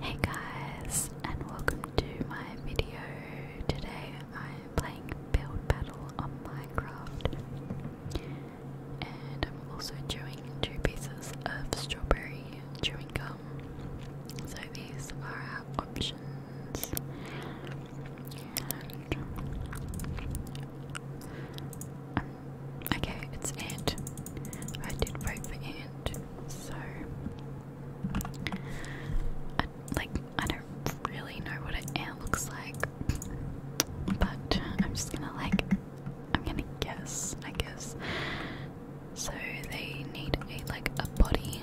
Hey guys, and welcome to my video. Today I'm playing Build Battle on Minecraft, and I'm also chewing two pieces of strawberry chewing gum. So these are options, okay, it's Ant. I did vote for Ant. So, I, like, I don't really know what an looks like, but I'm just gonna, like, I'm gonna guess, I guess. So, they need a, like, a body,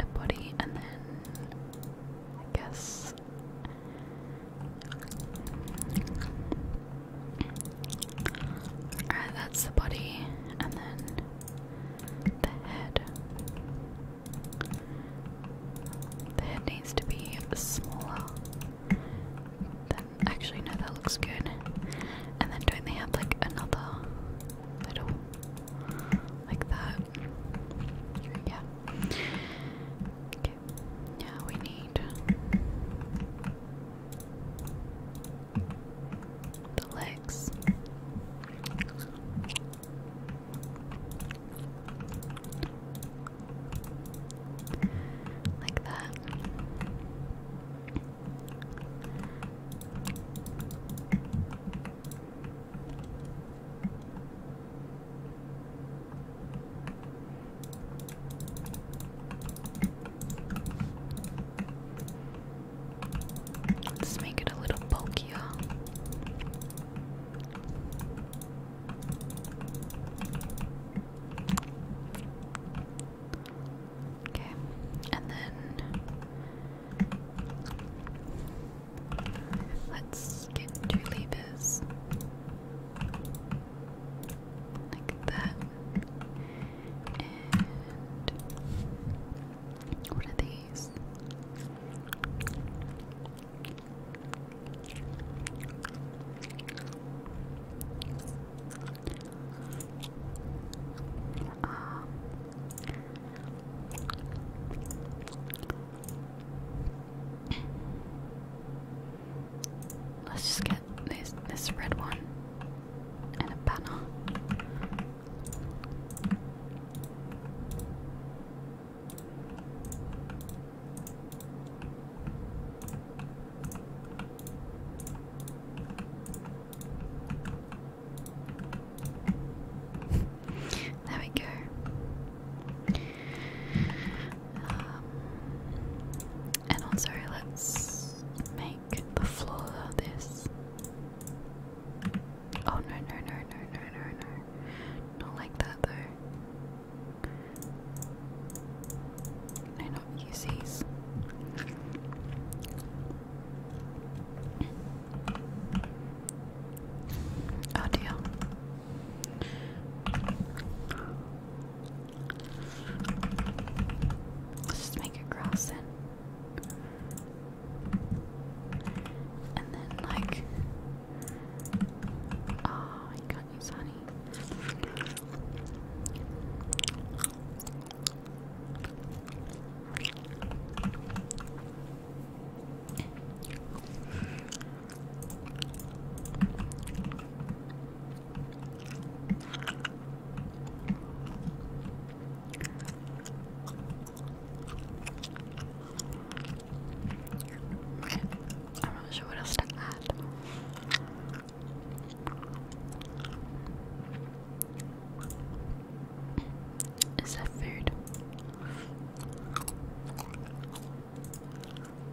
a body, and then, I guess, Alright, that's the body, and then the head. The head needs to be smaller. Then, actually, no, that looks good. And then, don't they have like another little like that? Yeah. Now we need the legs. Like that. Let's make it a little bulkier. Okay, and then let's get two levers like that. And what are these? Um, Let's just get this this red one and a banner. there we go. Um, and also, let's make the floor this. Oh no, no, no, no, no, no, no. Not like that though. No, not use these. Oh dear. Let's just make it cross in. And then, like, oh, you can't use Okay, I'm not sure what else to add. Is that food?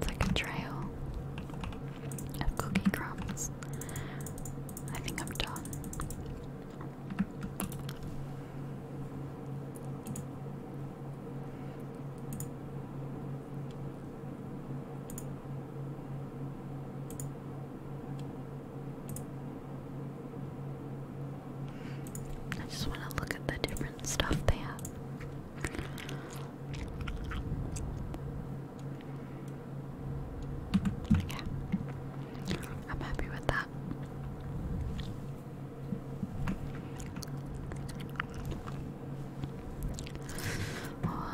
It's like a trail of cookie crumbs. I think I'm done. I just want to look at the different stuff they have. Okay. I'm happy with that.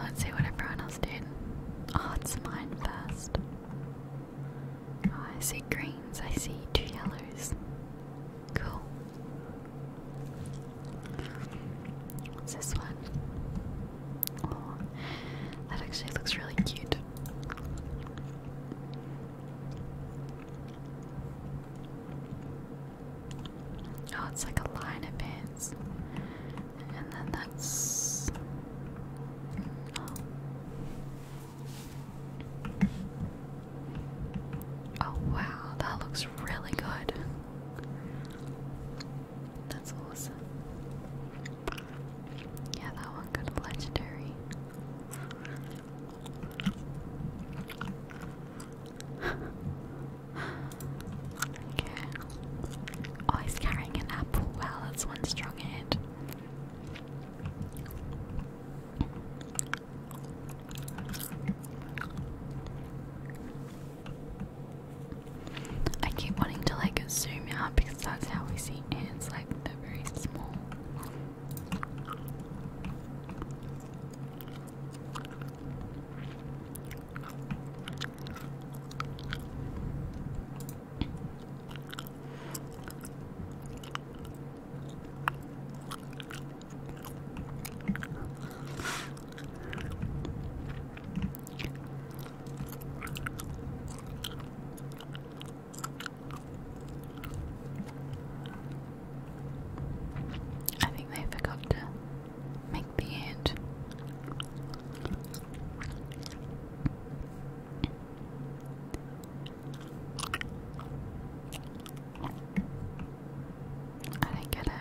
let's see what everyone else did. Oh, it's mine first. Oh, I see greens, I see two yellows. Cool. What's this one? Oh, that actually looks really cute. Oh, it's like a line of pants. And then that's. Oh. Oh wow, that looks really good. That's awesome. Yeah, that one got legendary. okay. Oh, he's carrying an apple. Wow, that's one strong hand. I keep wanting to like zoom out because that's how we see ants, like they're very small. I think they forgot to make the end. I didn't get it.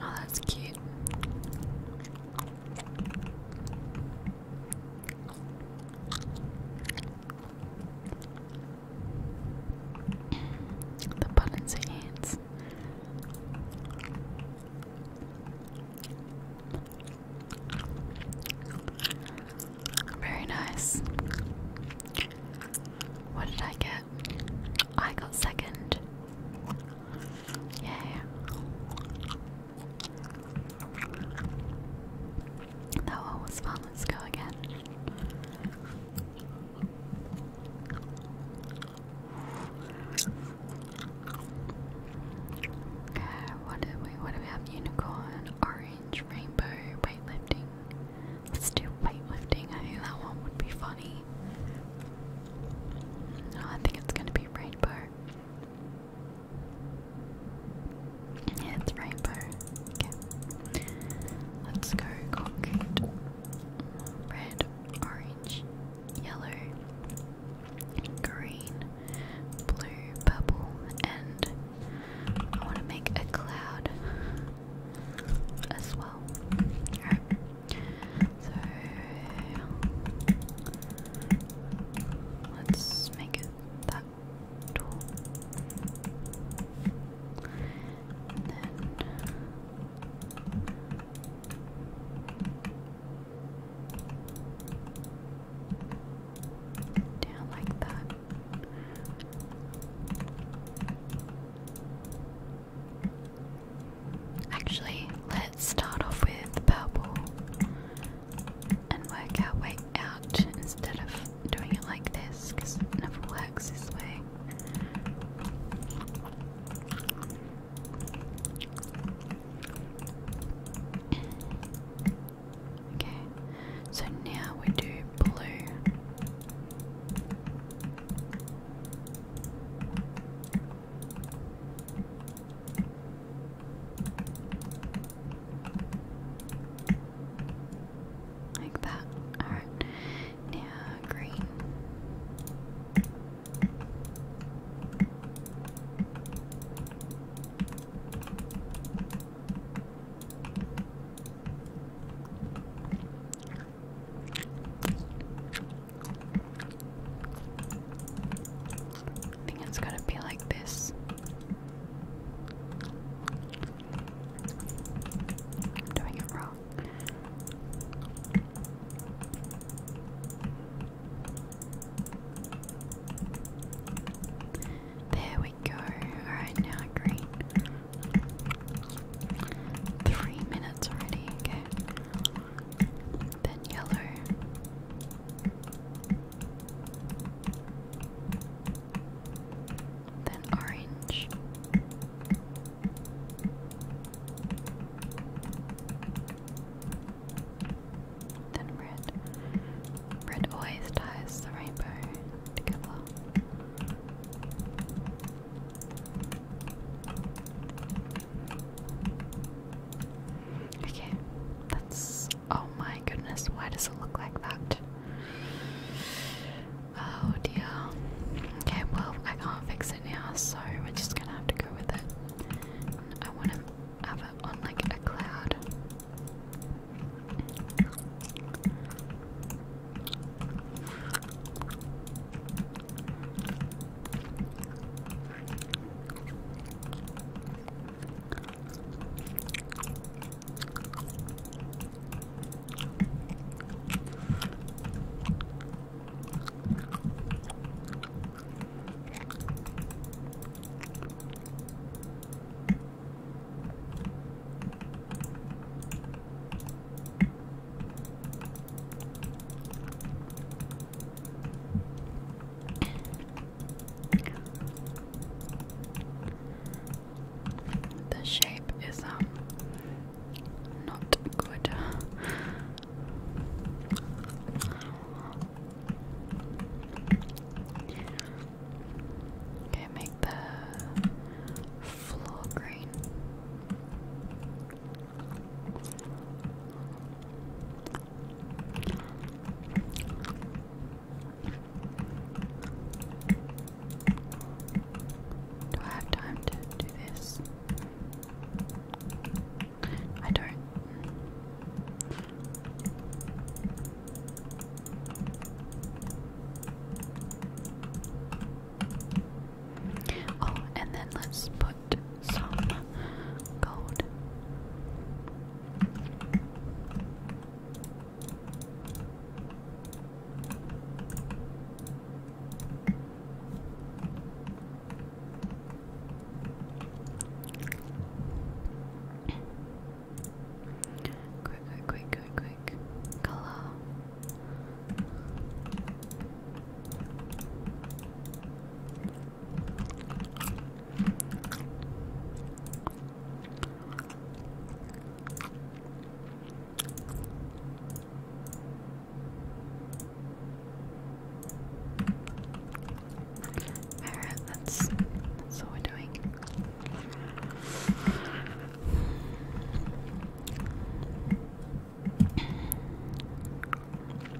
Oh, that's cute. the buttons are ants. Very nice. What did I get? I got second. Yay. That one was fun. Let's go again. What do we what do we have? Unicorn, orange, rainbow, weightlifting. Let's do weightlifting. I think that one would be funny. Oh, I think it's gonna be rainbow. it's rainbow. Okay. Let's go concrete. Red, orange, yellow, green, blue, bubble, and I want to make a cloud as well. Alright, so let's make that And then Actually, let's start off with purple and work our way out instead of doing it like this because it never works this way. Okay, so now we do blue. Like that. Alright. Now green. I think it's to be like this. doing it wrong. There we go. Alright, now green. Three minutes already, okay. Then yellow. Then orange. Then red. Red always ties the rainbow together. Okay, that's. Oh my goodness, why does it look like that? Oh dear. Okay, well, I can't fix it now, so we're just gonna have to go with it. I want to have it on like a cloud. The shape is um not good. Okay, make the floor green. Do I have time to do this? I don't. Oh, and then let's put some gold. Quick, quick, quick, quick, quick. Color. Alright, that's that's what we're doing.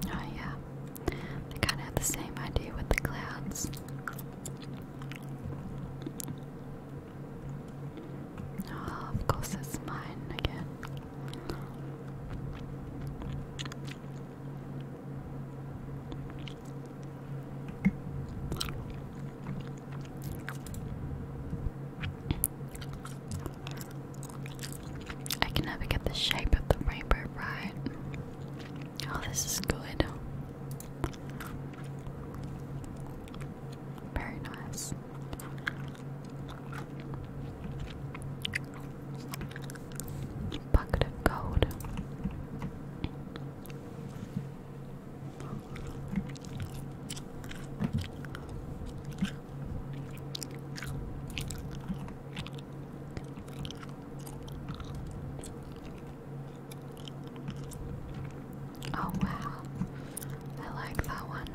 Oh yeah. I kinda had the same idea with the clouds. Oh, of course it's mine again. I can never get the shape of the rainbow right. Oh, this is good. Very nice. Bucket of gold. Oh wow, I like that one.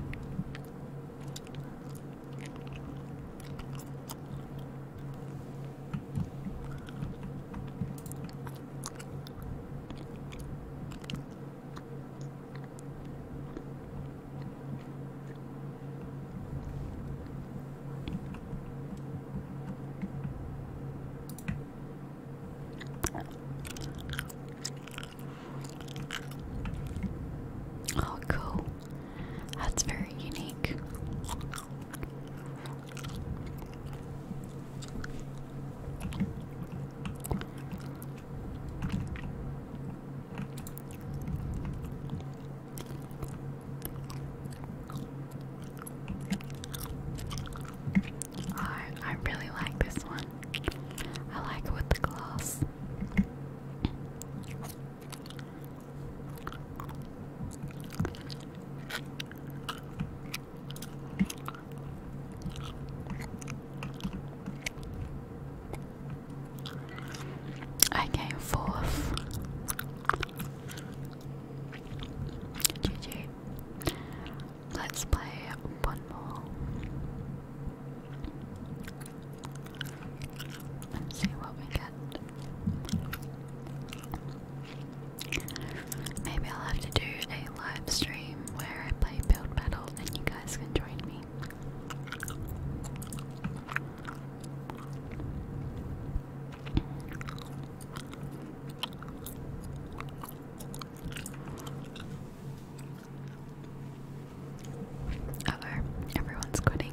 Oh, cool. That's very unique. I I really like this one. I like it with the glass. I came fourth. GG. Let's play one more and see what we get. Maybe I'll have to do a live stream where I play Build Battle and you guys can join me. Uh everyone's quitting.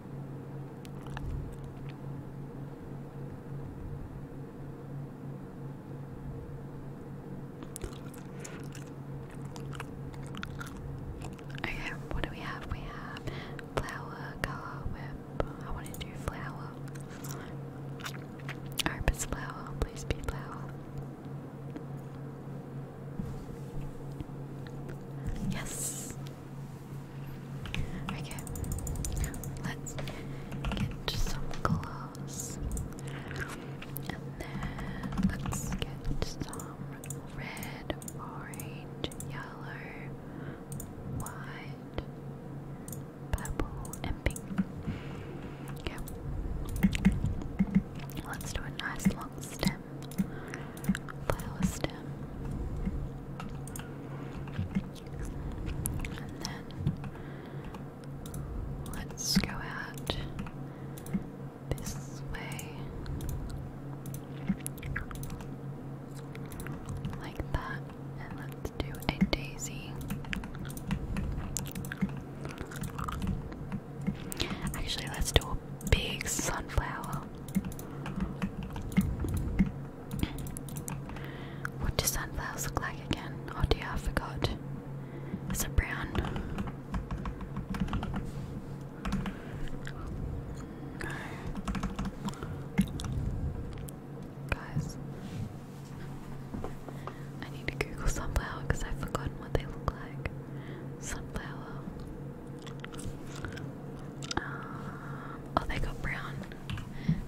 Okay, what do we have? We have flower, color, whip. I want to do flower. Herb flower, please be flower. Yes, Okay, let's get some glass. And then let's get some red, orange, yellow, white, purple, and pink. Okay. Let's do a nice long stem. Flower stem. And then let's go out this way. Like that. And let's do a daisy. Actually, let's do a big sunflower. What do sunflowers look like again? Oh dear, I forgot. It's a brown? Guys, I need to Google sunflower because I've forgotten what they look like. Sunflower. Uh, Oh, they go brown.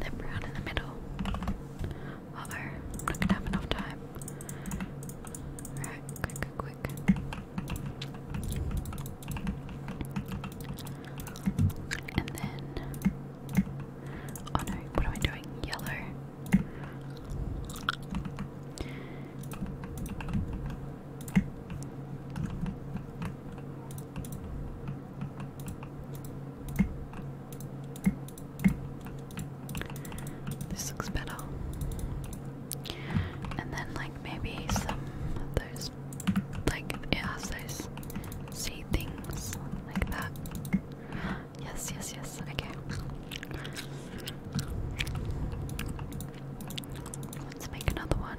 They're brown in the middle. oh, i not gonna have enough time. Alright, quick, quick, quick. And then. Oh no, what am I doing? Yellow. This looks better. And then, like, maybe some of those, like, it those sea things like that. Yes, yes, yes, okay. Let's make another one.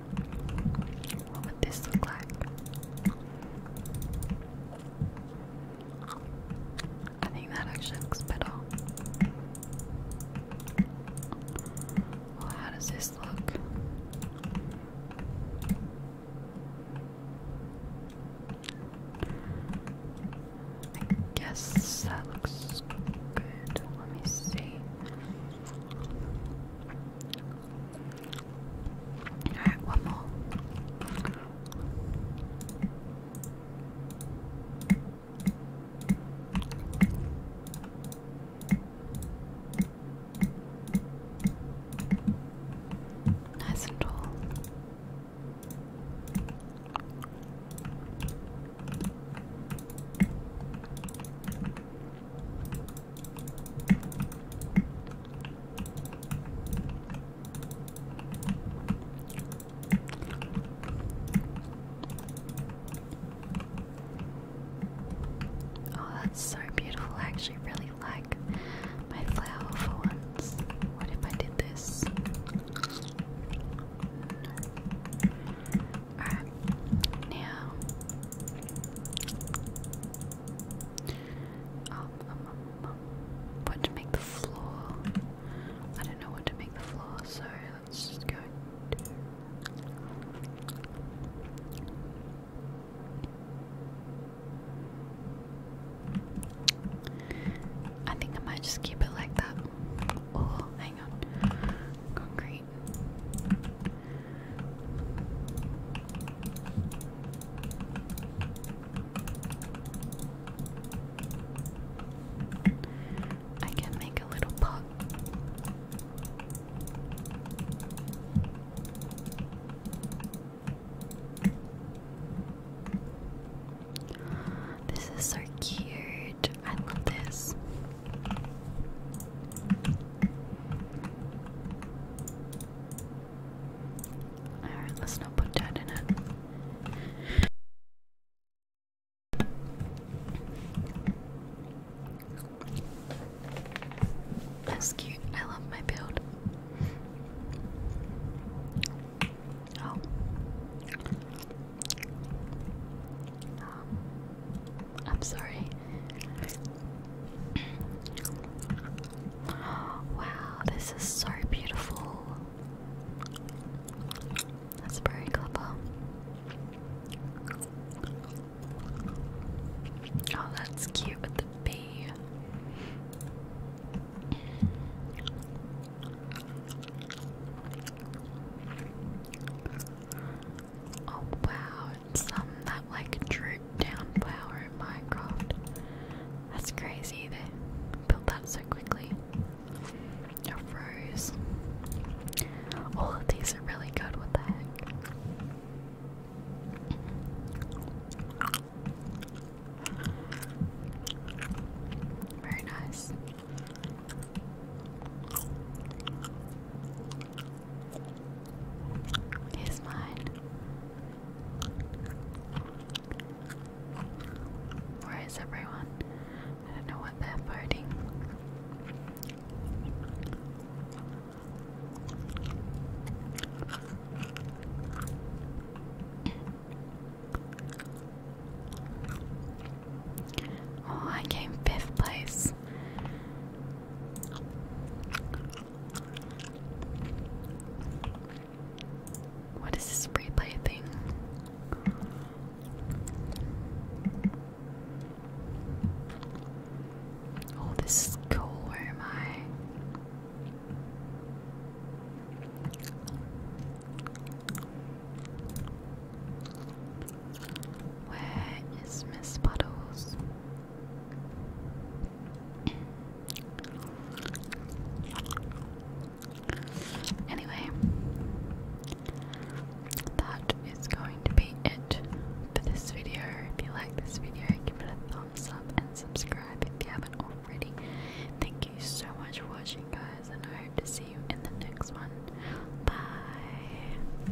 What would this look like? I think that actually looks better. Well, how does this look? I guess that looks good. Let me see. Alright, one more. Nice and tall. Oh, that's so beautiful. I actually really like my flower for once. What if I did this? Alright, there. Um, um, um, what to make the floor? I don't know what to make the floor, so let's just go. I think I might just keep it like that. Or, hang on. Concrete. I can make a little pot. This is so cute. I love this. Alright, let's not put that in it. That's cute. I love my build. Oh. Um, I'm sorry. wow, this is so beautiful. That's very clever. Oh, that's cute with the bee. Oh wow, some that like droop down flower in Minecraft. That's crazy, they built that so quickly. A rose. All of these are really good, what the heck? Very nice. Here's mine. Where is everyone? I don't know what they're voting. oh, I came fifth place. What is this replay thing? Oh, this is cool. Where am I? Where is Miss Puddles? Anyway, that is going to be it for this video. If you like this video, give it a thumbs up and subscribe if you haven't already. Thank you so much for watching, guys, and I hope to see you in the next one. Bye.